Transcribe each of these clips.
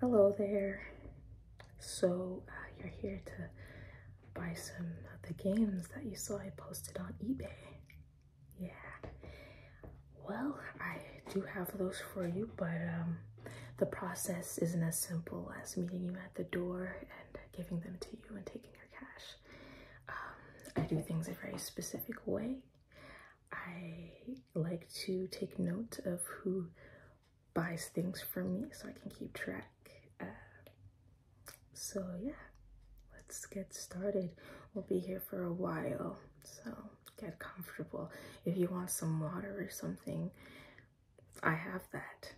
Hello there. So uh, you're here to buy some of the games that you saw I posted on eBay. Yeah. Well, I do have those for you, but um, the process isn't as simple as meeting you at the door and giving them to you and taking your cash. Um, I do things a very specific way. I like to take note of who buys things for me so I can keep track. Uh, so yeah, let's get started. We'll be here for a while, so get comfortable. If you want some water or something, I have that.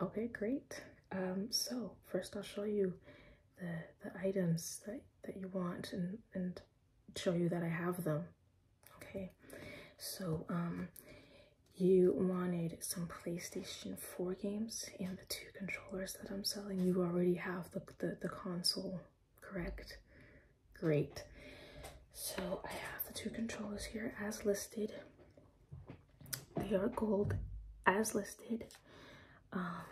Okay, great. Um, so first I'll show you the, the items that, that you want and, and show you that I have them. Okay, so um, you wanted some PlayStation 4 games and the two controllers that I'm selling. You already have the, the, the console, correct? Great. So I have the two controllers here as listed. They are gold as listed. Um,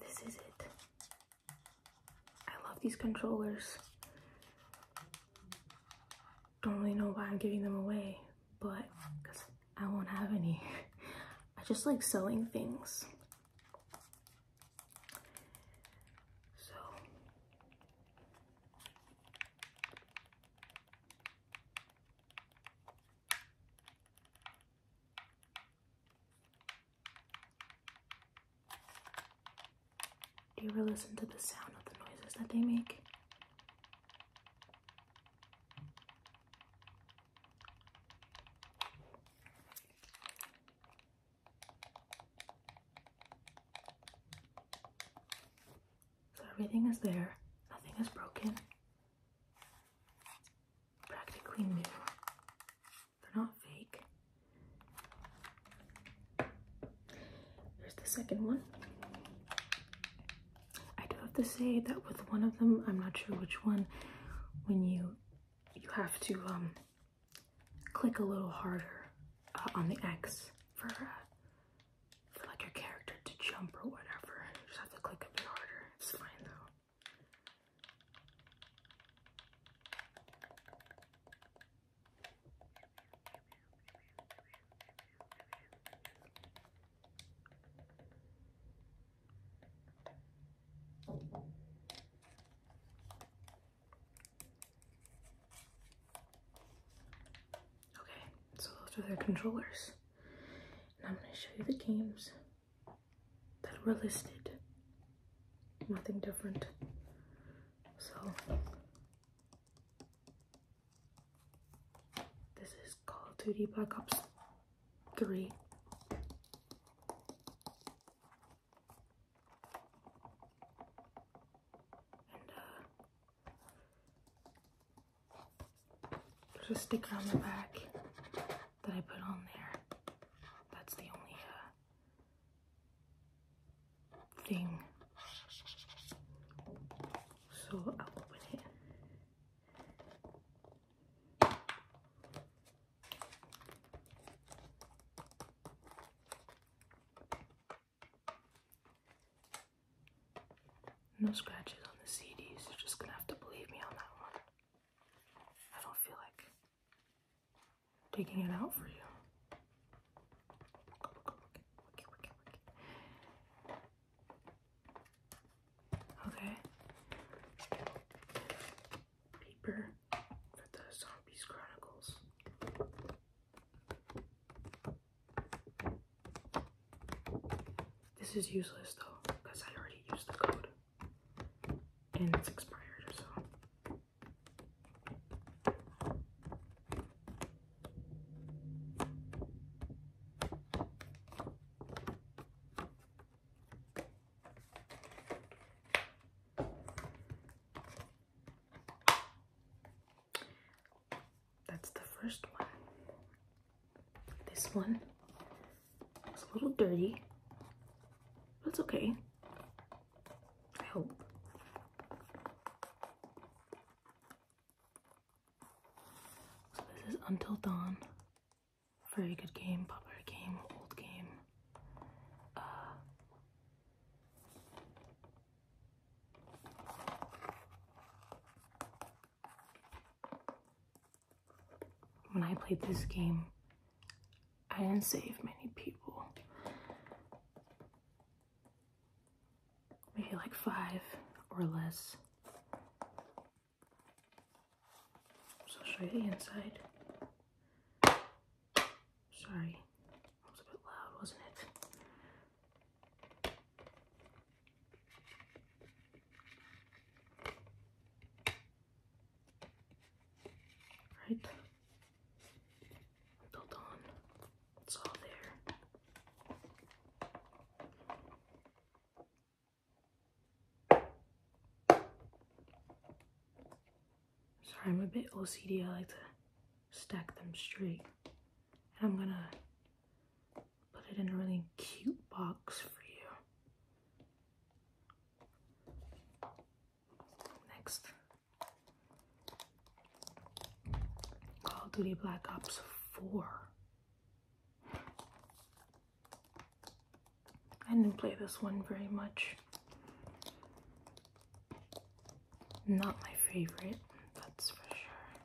this is it. I love these controllers. Don't really know why I'm giving them away, but because I won't have any. I just like selling things. So do you ever listen to the sound of the noises that they make? So everything is there, nothing is broken practically new. They're not fake. There's the second one. I do have to say that with one of them, I'm not sure which one, when you you have to um, click a little harder uh, on the X for uh, for like your character to jump or whatever. You just have to click a bit harder. It's fine though. Okay, so those are their controllers. And I'm going to show you the games that were listed. Nothing different. So, this is Call of Duty Black Ops 3. Uh, there's a sticker on the back that I put on there. That's the only uh, thing. So I'll open it. No scratches on the CDs. You're just gonna have to believe me on that one. I don't feel like taking it out for you. Okay. Paper for the Zombies Chronicles. This is useless though, because I already used the code. And it's expired, so. That's the first one. This one is a little dirty, but it's okay. I hope. this is Until Dawn. Very good game, popular game, old game. Uh, when I played this game, I didn't save many people. Maybe like five or less. So I'll show you the inside. Sorry, that was a bit loud, wasn't it? Right. Built on. It's all there. Sorry, I'm a bit OCD. I like to stack them straight. And I'm gonna put it in a really cute box for you. Next, Call of Duty Black Ops 4. I didn't play this one very much. Not my favorite, that's for sure.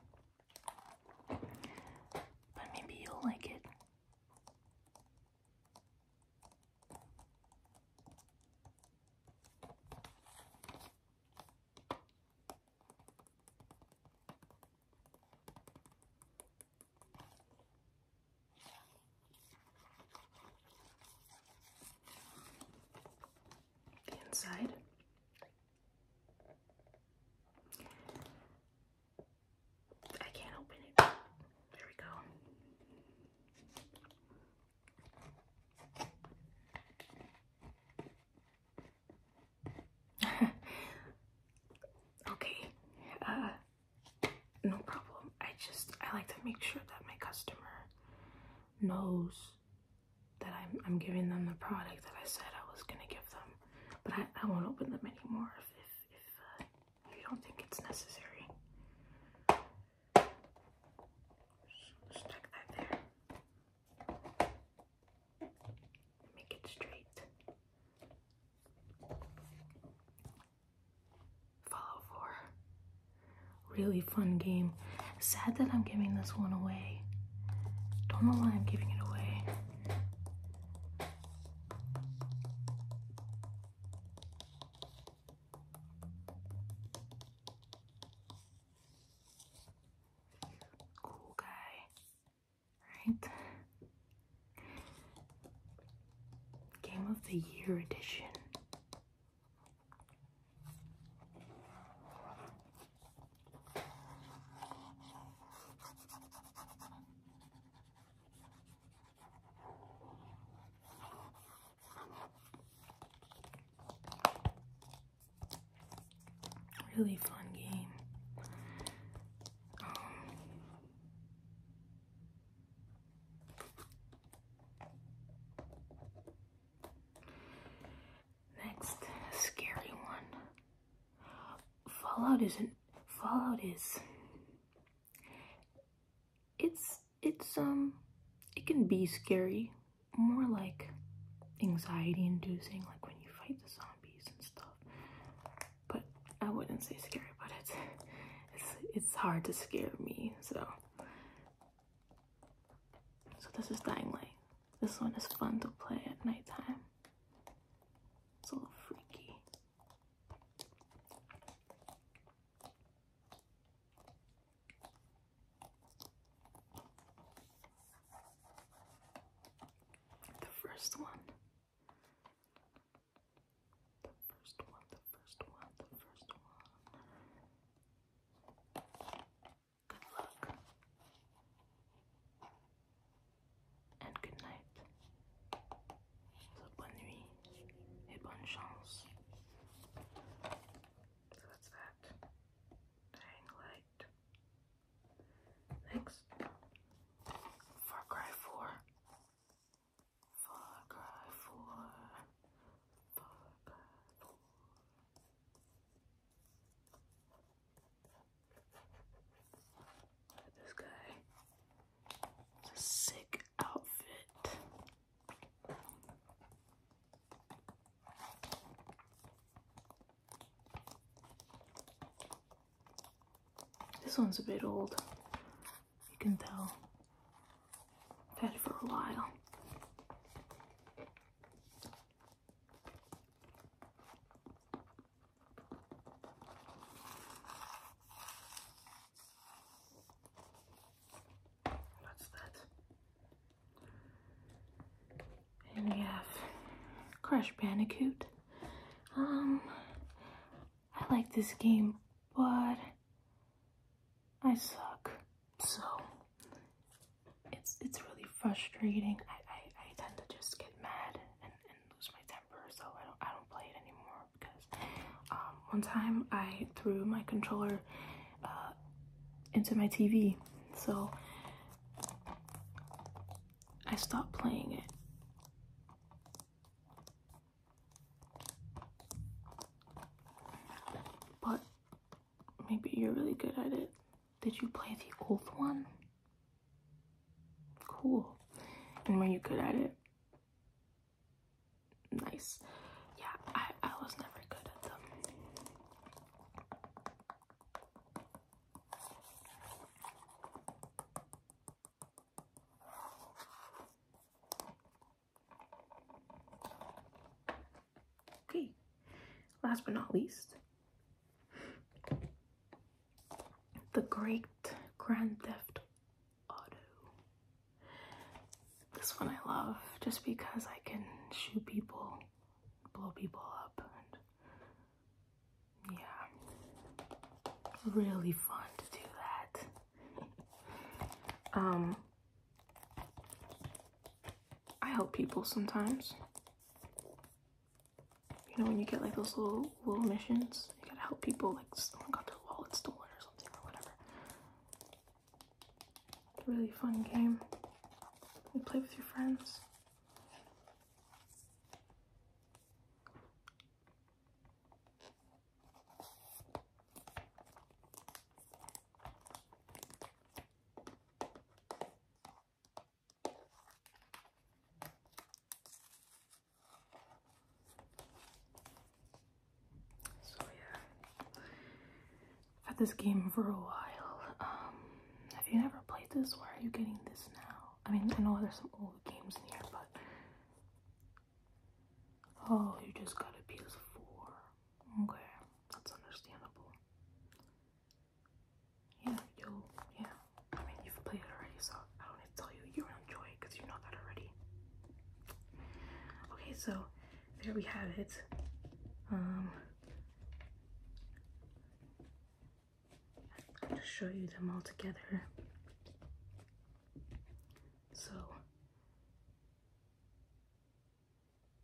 But maybe you'll like it. inside I can't open it. There we go. okay. Uh, no problem. I just I like to make sure that my customer knows that I'm, I'm giving them the product that I said I was gonna give them, but I, I won't open them anymore if if, uh, you don't think it's necessary. Stick that there. Make it straight. Follow for really fun game. Sad that I'm giving this one away. Don't know why I'm giving it away. Cool guy, right? Game of the Year edition. Really fun game. Next, scary one. Fallout isn't Fallout is it's it's um it can be scary, more like anxiety inducing, like when you fight the zombies and stuff. But I wouldn't say scary, but it's it's it's hard to scare me, so so this is dying light. This one is fun to play at nighttime. It's a little freaky. The first one. The first one, the first one, the first one. Good luck. And good night. bonne nuit et chance. So that's that. Dying light. Next. Far Cry 4. Far Cry 4. Far Cry 4 this guy. sick outfit. This one's a bit old. You can tell. had it for a while. That's that. And we have Crash Bandicoot. Um, I like this game, but I suck so it's it's really frustrating. I, I, I tend to just get mad and, and lose my temper, so I don't I don't play it anymore because um, one time I threw my controller uh, into my TV, so I stopped playing it. But maybe you're really good at it. Did you play the old one? Cool. And were you good at it? Nice. Yeah, I, I was never good at them. Okay, last but not least, the great Grand Theft Auto. This one I love just because I can shoot people, blow people up, and yeah, really fun to do that. um, I help people sometimes. You know when you get like those little little missions, you gotta help people. Like someone oh got their wallet stolen or something or whatever. Really fun game. You play with your friends. So yeah, had this game for a while. Um, have you never played this? Why are you getting this now? I mean, I know there's some old games in here, but oh, you just got a PS4. Okay, that's understandable. Yeah, you yeah. I mean, you've played it already, so I don't need to tell you. you enjoy it because you know that already. Okay, so there we have it. Um, i show you them all together. So,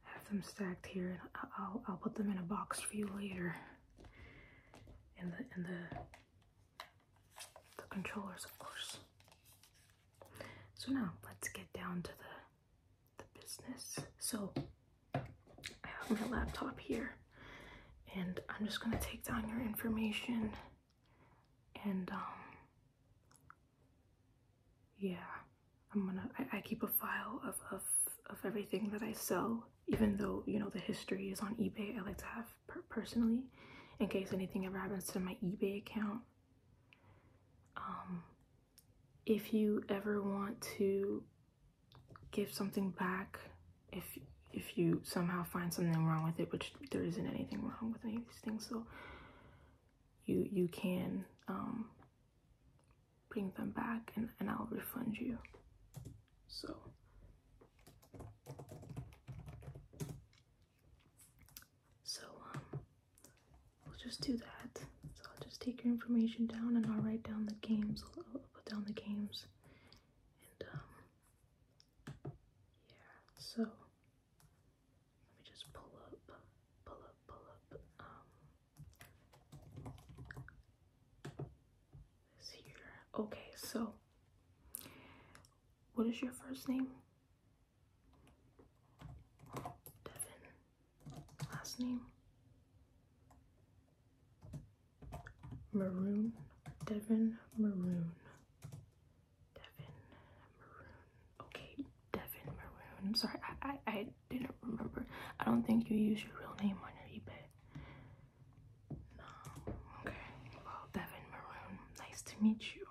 have them stacked here and I'll, I'll put them in a box for you later in the in the the controllers of course so now let's get down to the the business so I have my laptop here and I'm just gonna take down your information and um yeah i'm gonna i, keep a file of, of of everything that i sell even though you know the history is on ebay i like to have personally in case anything ever happens to my ebay account um if you ever want to give something back if if you somehow find something wrong with it which there isn't anything wrong with any of these things so you you can um, bring them back and, and I'll refund you. So so um, we'll just do that. So I'll just take your information down and I'll write down the games. I'll, put down the games and um, yeah. So let me just pull up, pull up, pull up. Um, here. Okay, so what is your first name? Devin. Last name? Maroon. Devin Maroon. Devin Maroon. Okay, Devin Maroon. I'm sorry, I, I, didn't remember. I don't think you use your real name on your eBay. No. Okay. Well, Devin Maroon. Nice to meet you.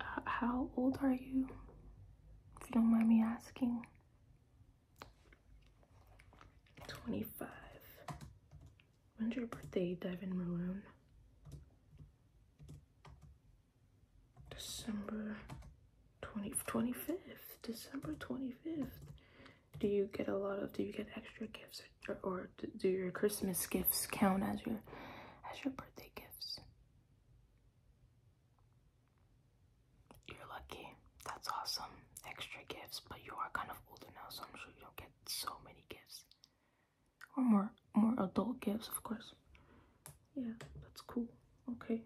Uh, how old are you? If you don't mind me asking. 25. When's your birthday, Devin Maroon? December 20, 25th. December 25th. Do you get a lot of, do you get extra gifts or, or do your Christmas gifts count as your, as your birthday gifts? You're lucky. That's awesome. Extra gifts, but you are kind of older now, so I'm sure you don't get so many gifts or more more adult gifts of course yeah that's cool okay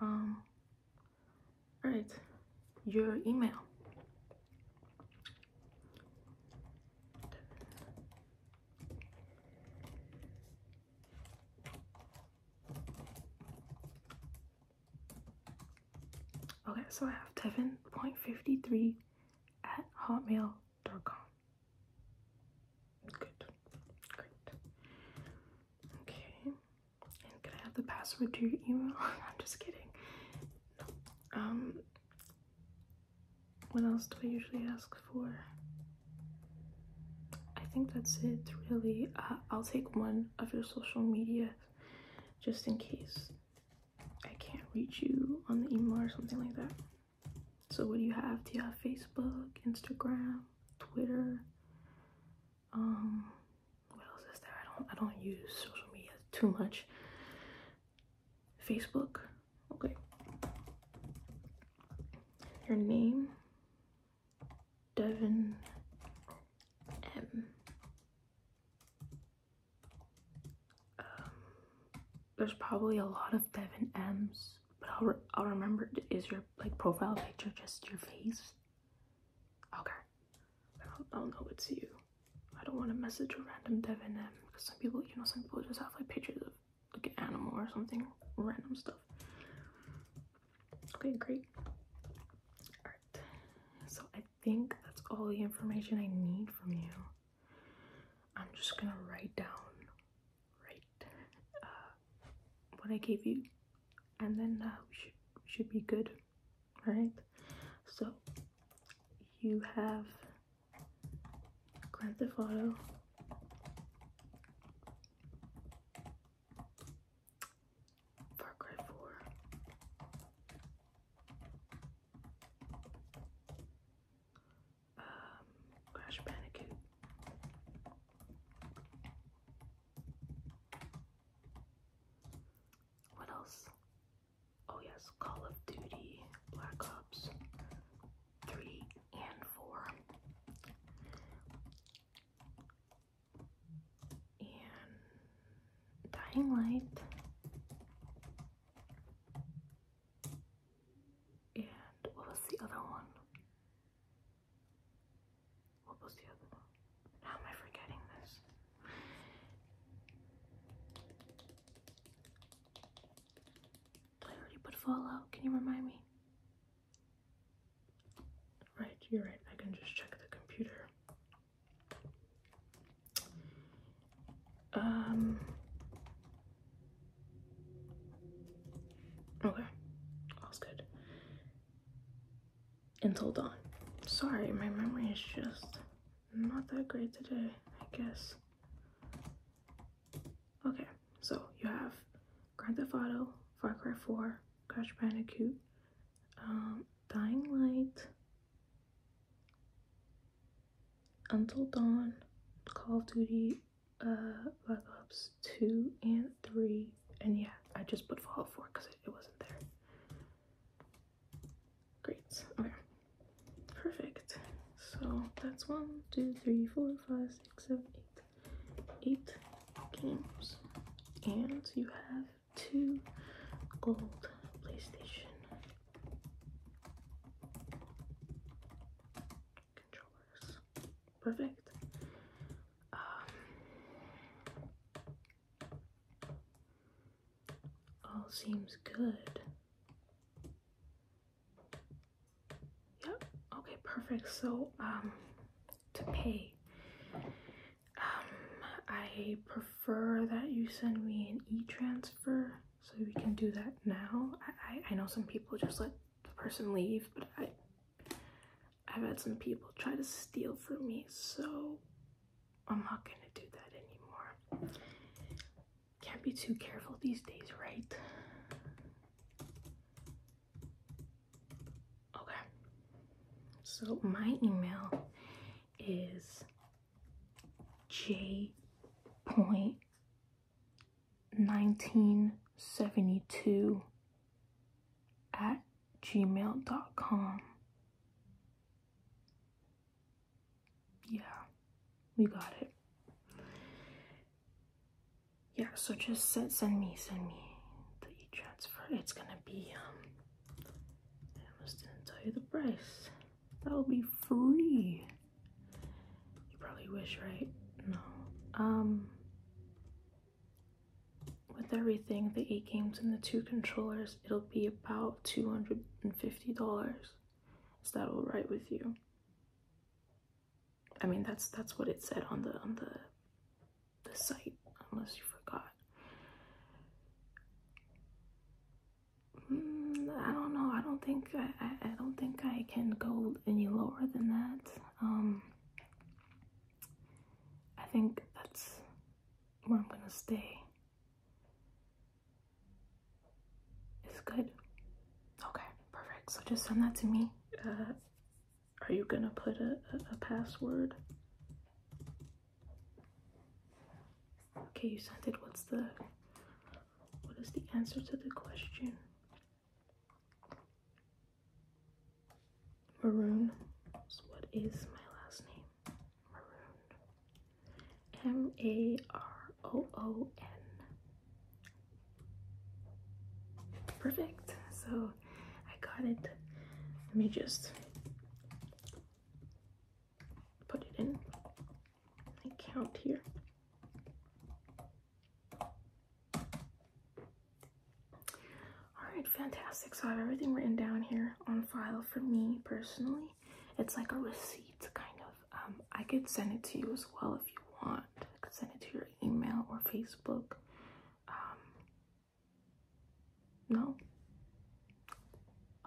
um all right your email Okay, so I have 7.53 at hotmail gmail.com. Good. Great. Okay. can I have the password to your email? I'm just kidding. Um what else do I usually ask for? I think that's it really. Uh, I'll take one of your social media just in case I can't reach you on the email or something like that. So what do you have? Do you have Facebook, Instagram, Twitter? Um, what else is there? I don't I don't use social media too much. Facebook. Okay. Your name. Devin M. Um, there's probably a lot of Devin M's but I'll, I'll remember. Is your like profile picture just your face? Okay, I don't, know it's you. I don't want to message a random Dev and M because some people, you know, some people just have like pictures of like an animal or something, random stuff. Okay, great. All right, so I think that's all the information I need from you. I'm just gonna write down right uh, what I gave you and then uh, we should, should be good alright so you have Grand Theft Auto Far Cry 4 um, Crash Bandicoot. What else? Oh yes, Call of Duty, Black Ops 3 and 4. And Dying Light. And what was the other one? What was the other one? How am I forgetting this? I already put Fallout. Can you remind me? Right, you're right. I can just check the computer. Um. Okay, all's good. Until dawn. Sorry, my memory is just not that great today, I guess. Okay, so you have Grand Theft Auto, Far Cry 4, Crash Bandicoot, um, Dying Light, until Dawn, Call of Duty, uh, Black Ops 2 and 3, and yeah, I just put Fallout 4 because it, wasn't there. Great, okay. Perfect. So that's one, two, three, four, five, six, seven, eight, eight games. And you have two gold PlayStation controllers. Perfect. Um, all seems good. Yep. Okay, perfect. So, um, to pay, um, I prefer that you send me an e-transfer so we can do that now. I, I, know some people just let the person leave, but I, I've had some people try to steal from me, so I'm not gonna do that anymore. Can't be too careful these days, right? Okay. So my email is j point 1972 at gmail.com. Yeah, we got it. Yeah, so just send, me, send me the transfer It's gonna be, um, I almost didn't tell you the price. That'll be free. You probably wish, right? No. Um, with everything, the eight games and the two controllers, it'll be about $250. Is that all right with you? I mean, that's that's what it said on the on the the site, unless you forgot. Mm, I don't know. I don't think I, I, don't think I can go any lower than that. Um, I think that's where I'm gonna stay. It's good. Okay, perfect. So just send that to me. Uh, are you gonna put a, a password? Okay, you sent it. What's the what is the answer to the question? Maroon. what is my last name? Maroon. M A R O O N. Perfect. So I got it. Let me just put it in. I count here. Alright, fantastic. So I have everything written down here on file for me personally. It's like a receipt, kind of. Um, I could send it to you as well if you want. could send it to your email or Facebook. Um, no?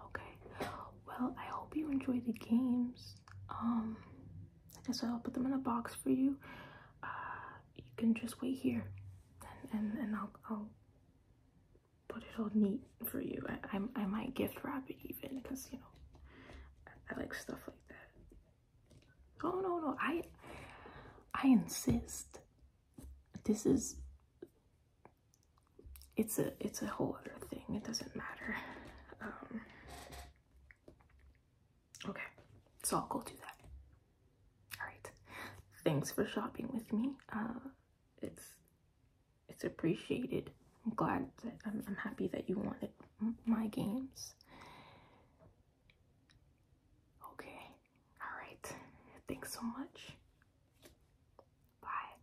Okay. Well, I hope you enjoy the games. Um, I guess I'll put them in a box for you. Uh, you can just wait here, and and, and I'll I'll put it all neat for you. I I, might gift wrap it even because you know I like stuff like that. Oh no no I I insist. This is it's a it's a whole other thing. It doesn't matter. Um, okay, so I'll go do that. All right. Thanks for shopping with me. Uh, it's it's appreciated. I'm glad I'm, I'm happy that you wanted my games. Okay. All right. Thanks so much. Bye.